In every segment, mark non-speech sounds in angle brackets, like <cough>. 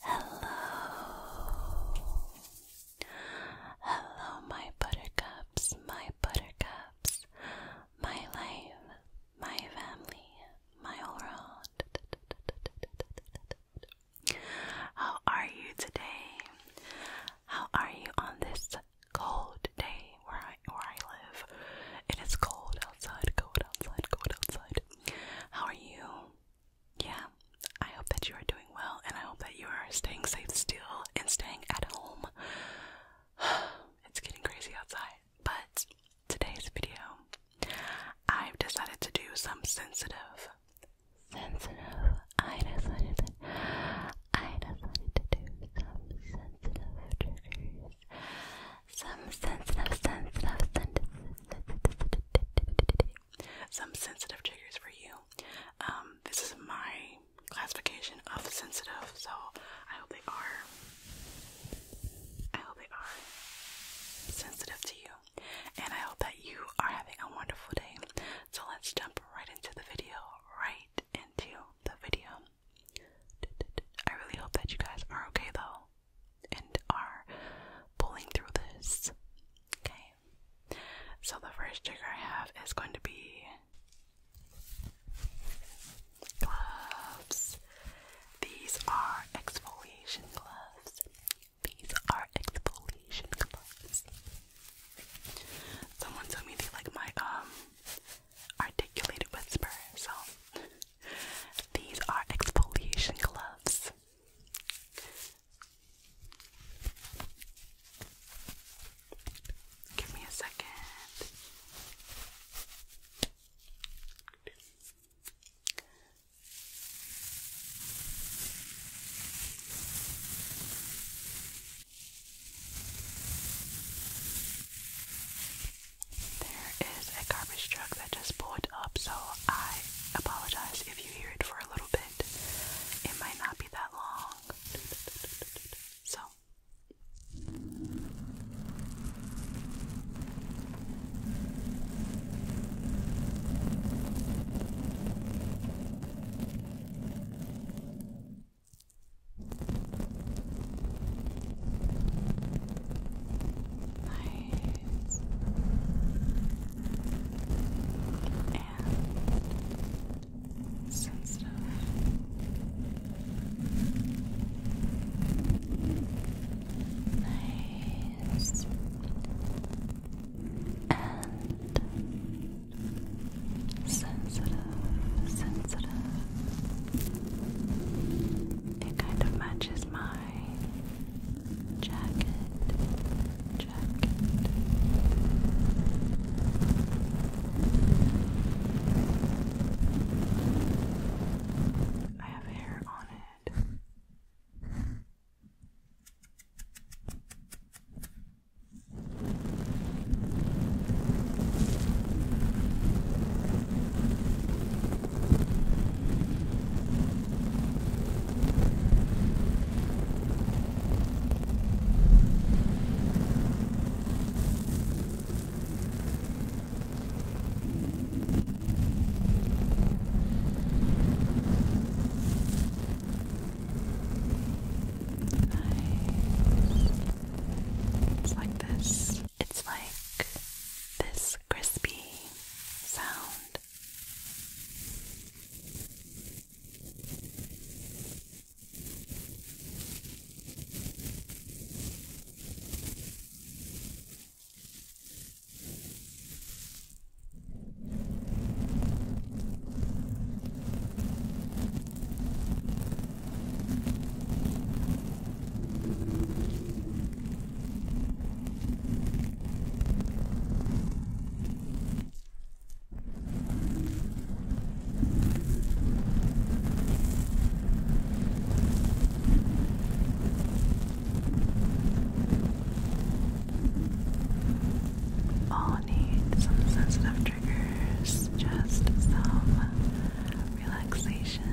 Hello. Hello, my buttercups, my buttercups, my life, my family, my world. How are you today? How are you on this cold day where I, where I live? It is cold outside, cold outside, cold outside, how are you? Yeah, I hope that you are doing well, and I hope that you are staying safe still and staying at home. <sighs> it's getting crazy outside, but today's video, I've decided to do some sensitive, sensitive. I decided to, I decided to do some sensitive triggers some sensitive, sensitive, sensitive, some sensitive triggers for you. Um, this is my classification of sensitive, so I hope they are. I hope they are sensitive to you, and I hope that you are having a wonderful day. So let's jump right into the video. Right into the video. I really hope that you guys are okay though and are pulling through this. Okay, so the first trigger I have is going to be gloves. These are exfoliation gloves. These are exfoliation gloves. Someone told me they like my um articulated whisper, so these are exfoliation gloves. Give me a second. There is a garbage truck that just pulled up, so I apologize if you hear it for a little bit. It might not be that long. So. I eyes and sensitive. Nice and sensitive, sensitive. It kind of matches mine jacket, jacket. I have hair on it. Nice. It's like this. It's like this crispy sound. Now all need some sensitive triggers, just some relaxation. Relaxation.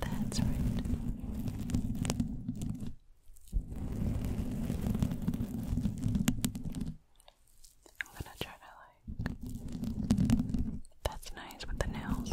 That's right. I'm gonna try to like. That's nice with the nails.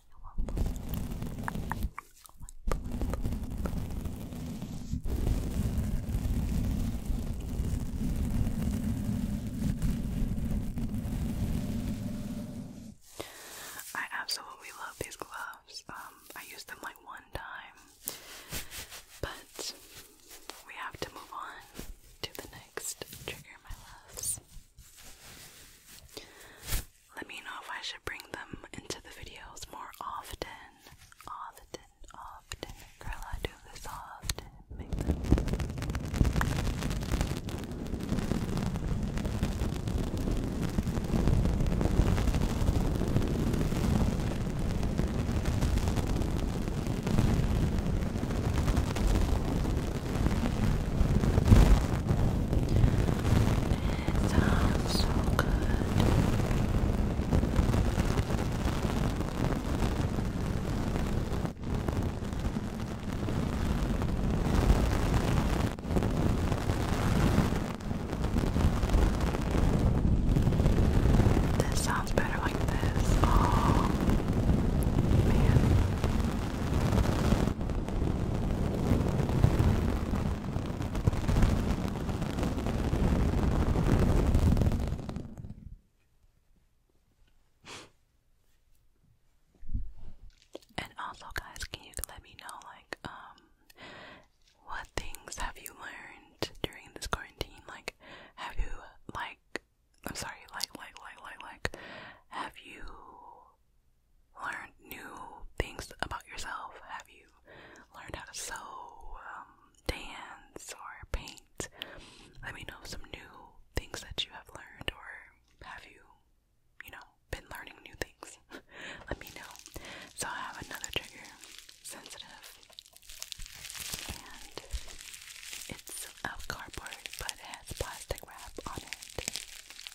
one, one, one. I absolutely love these gloves. Um, I used them like one time, but we have to move on to the next trigger, my loves. Let me know if I should bring them into the videos more often. Often, often. Girl, I do this often. It sounds so good. This sounds better like this. Oh, man. And also, guys, can you let me know, like, um, what things have you learned during this quarantine? Like, have you, like, I'm sorry, like, like, like, like, like, have you learned new things about yourself? Have you learned how to sew, um, dance, or paint? Let me know some new things that you have learned, or have you, you know, been learning new things? <laughs> Let me know. So I have another trigger, sensitive, and it's of cardboard, but it has plastic wrap on it.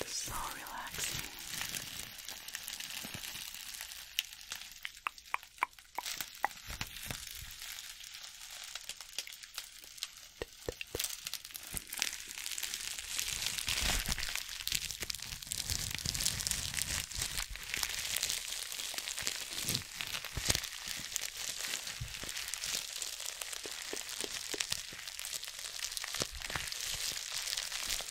It's so relaxing. Relax.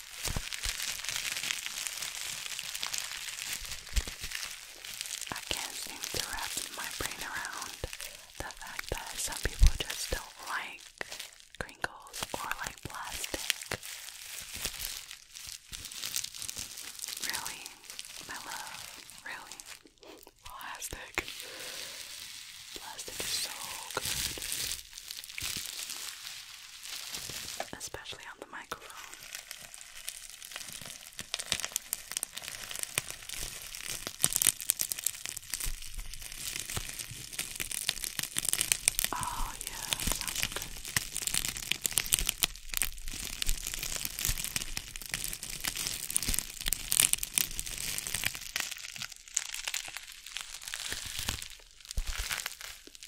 I can't seem to wrap my brain around the fact that some people just don't like crinkles or like plastic. Really, my really. Plastic. Plastic is so good especially on the microphone. Oh, yeah, sounds good.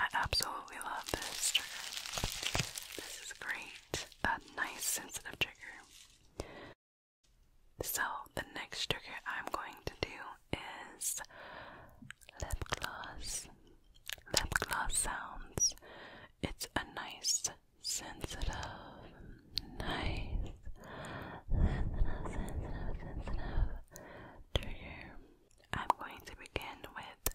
I absolutely love this trigger. This is great a nice sensitive trigger. So, the next trigger I'm going to do is lip gloss. Lip gloss sounds. It's a nice, sensitive, nice, sensitive, sensitive, sensitive trigger. I'm going to begin with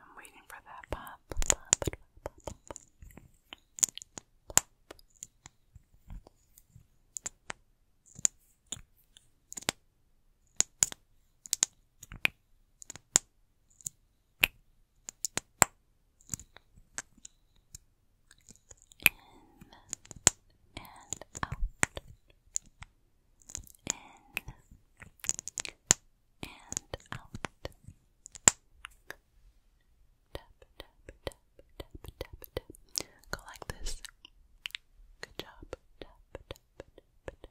I'm waiting for that pop, in and out. In and out. Tap, tap, tap, tap, tap, tap. Go like this. Good job. Tap, tap, tap, tap.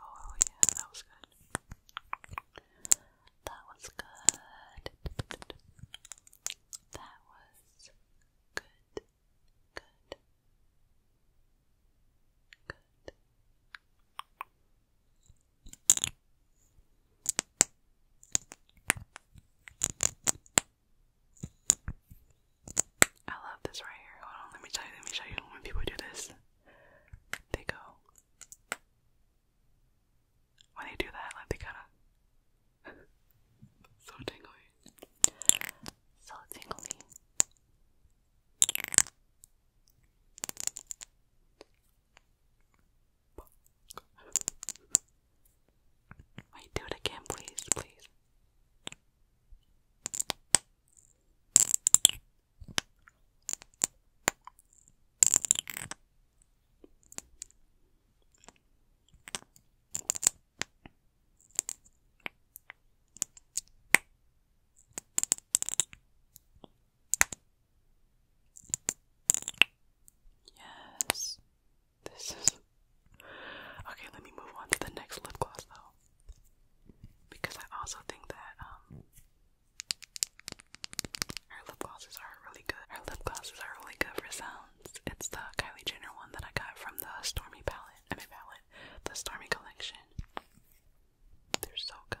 Oh, yeah, that was good. That was good. That was good, good, good. I love this right here. Hold on, let me tell you, let me show you when people do this. They go when they do that, like they kinda <laughs> so tingly. So tingly. <laughs> Wait, do it again, please, please. Yes. This is Okay, let me move on to the next lip gloss though. Because I also think that um, her lip glosses are really good. Her lip glosses are really good for sounds. It's the Kylie Jenner one that I got from the Stormy palette. I mean palette, the Stormy collection. They're so good.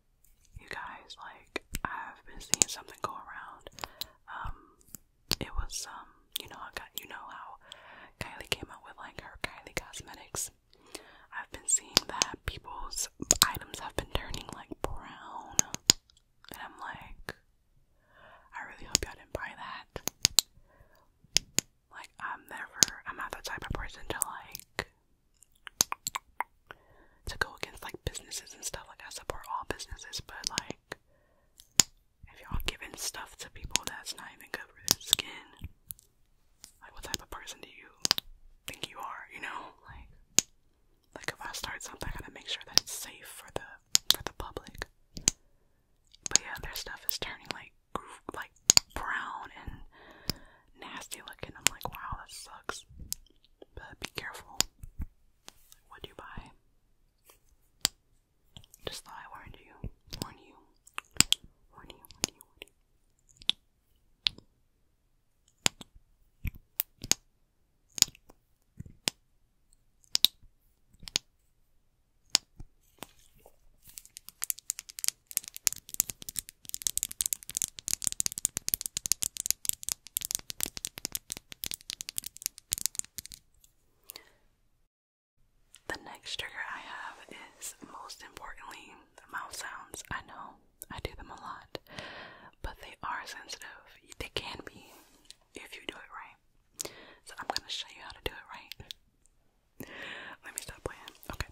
you guys, like, I've been seeing something go around. Um, it was, um, you know, I got, you know how Kylie came out with, like, her Kylie Cosmetics. I've been seeing that people's items have been turning, like, brown. And I'm like, I really hope y'all didn't buy that. Like, I'm never, I'm not the type of person to, like, to go against like businesses and stuff. Like I support all businesses, but like if y'all giving stuff to people that's not even good for their skin, like what type of person do you think you are? You know, like like if I start something, I gotta make sure that it's safe for the for the public. But yeah, their stuff is turning like like brown and nasty looking. I'm like, wow, that sucks but be careful what you buy. Just thought I warned you. Warn you, warn you, warn you. The next trigger I have is most importantly mouth sounds. I know I do them a lot, but they are sensitive. They can be if you do it right. So I'm gonna show you how to do it right. Let me stop playing. Okay.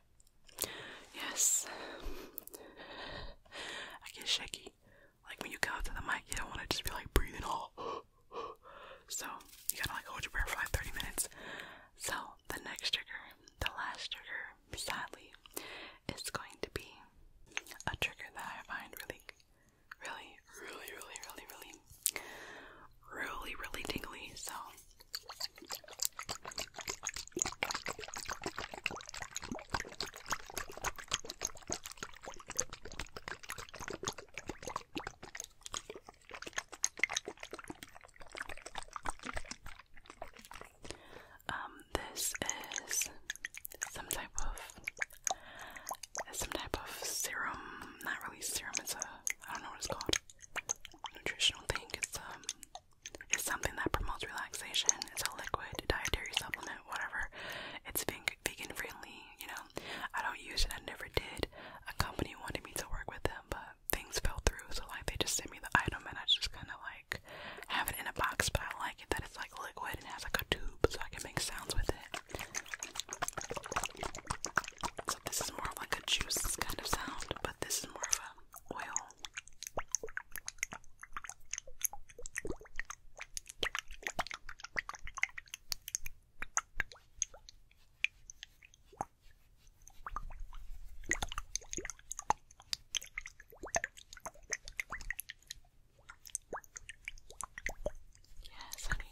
Yes. I get shaky. Like when you go up to the mic, you don't want to just be like breathing all. <gasps> So you gotta like hold your breath for like 30 minutes. So the next trigger, the last trigger, sadly, is going to be a trigger that I find really, really, really, really, really, really, really, really tingly. So um, this is some type of some type of serum. Not really serum. It's a I don't know what it's called. Nutritional thing. It's um it's something that promotes relaxation. It's a liquid dietary supplement, whatever. It's vegan friendly, you know. I don't use it, I never did. A company wanted me to work with them, but things fell through, so like they just sent me the item and I just kind of like have it in a box, but I like it that it's like liquid and has like a tube so I can make sounds with it. So this is more of like a juice kind of sound, but this is more of a oil. Yes, honey.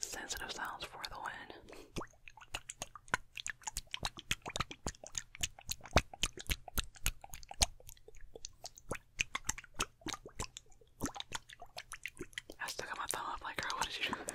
Sensitive sounds for the win. I stuck my thumb up like, girl, what did you do?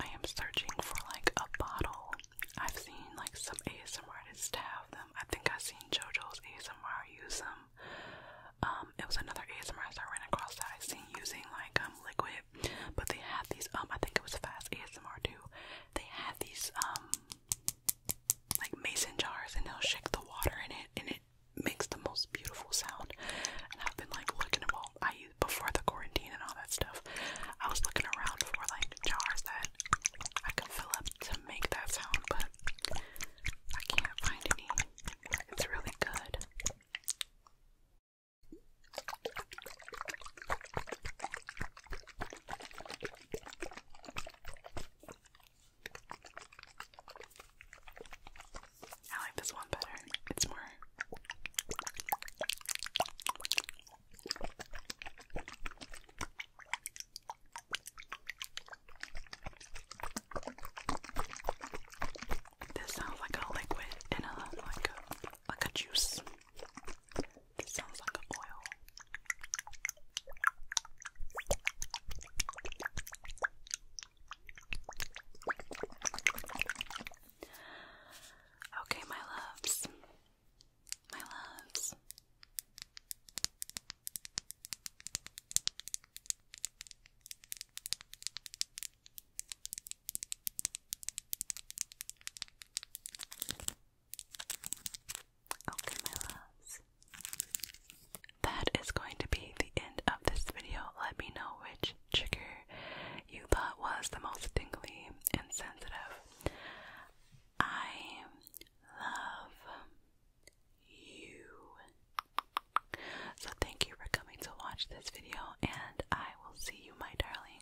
I am searching for like a bottle. I've seen like some ASMR artists have them. I think I've seen JoJo's ASMR use them. Um, it was another ASMR I ran across that I seen using like um liquid, but they had these um I think it was Fast ASMR too. They had these um like mason jars and they'll shake the water in it and it makes the most beautiful sound. And I've been like looking them all I before the quarantine and all that stuff. I was looking around for like jars that I could fill up to make that sound, but I can't find any. It's really good. I like this one better. It's more. This sounds like a liquid in a like like a juice. It sounds like an oil. Okay, my loves. My loves. Okay, my loves. That is going to be the end of this video. Let me know which trigger you thought was the most tingly and sensitive. I love you. So, thank you for coming to watch this video, and I will see you, my darling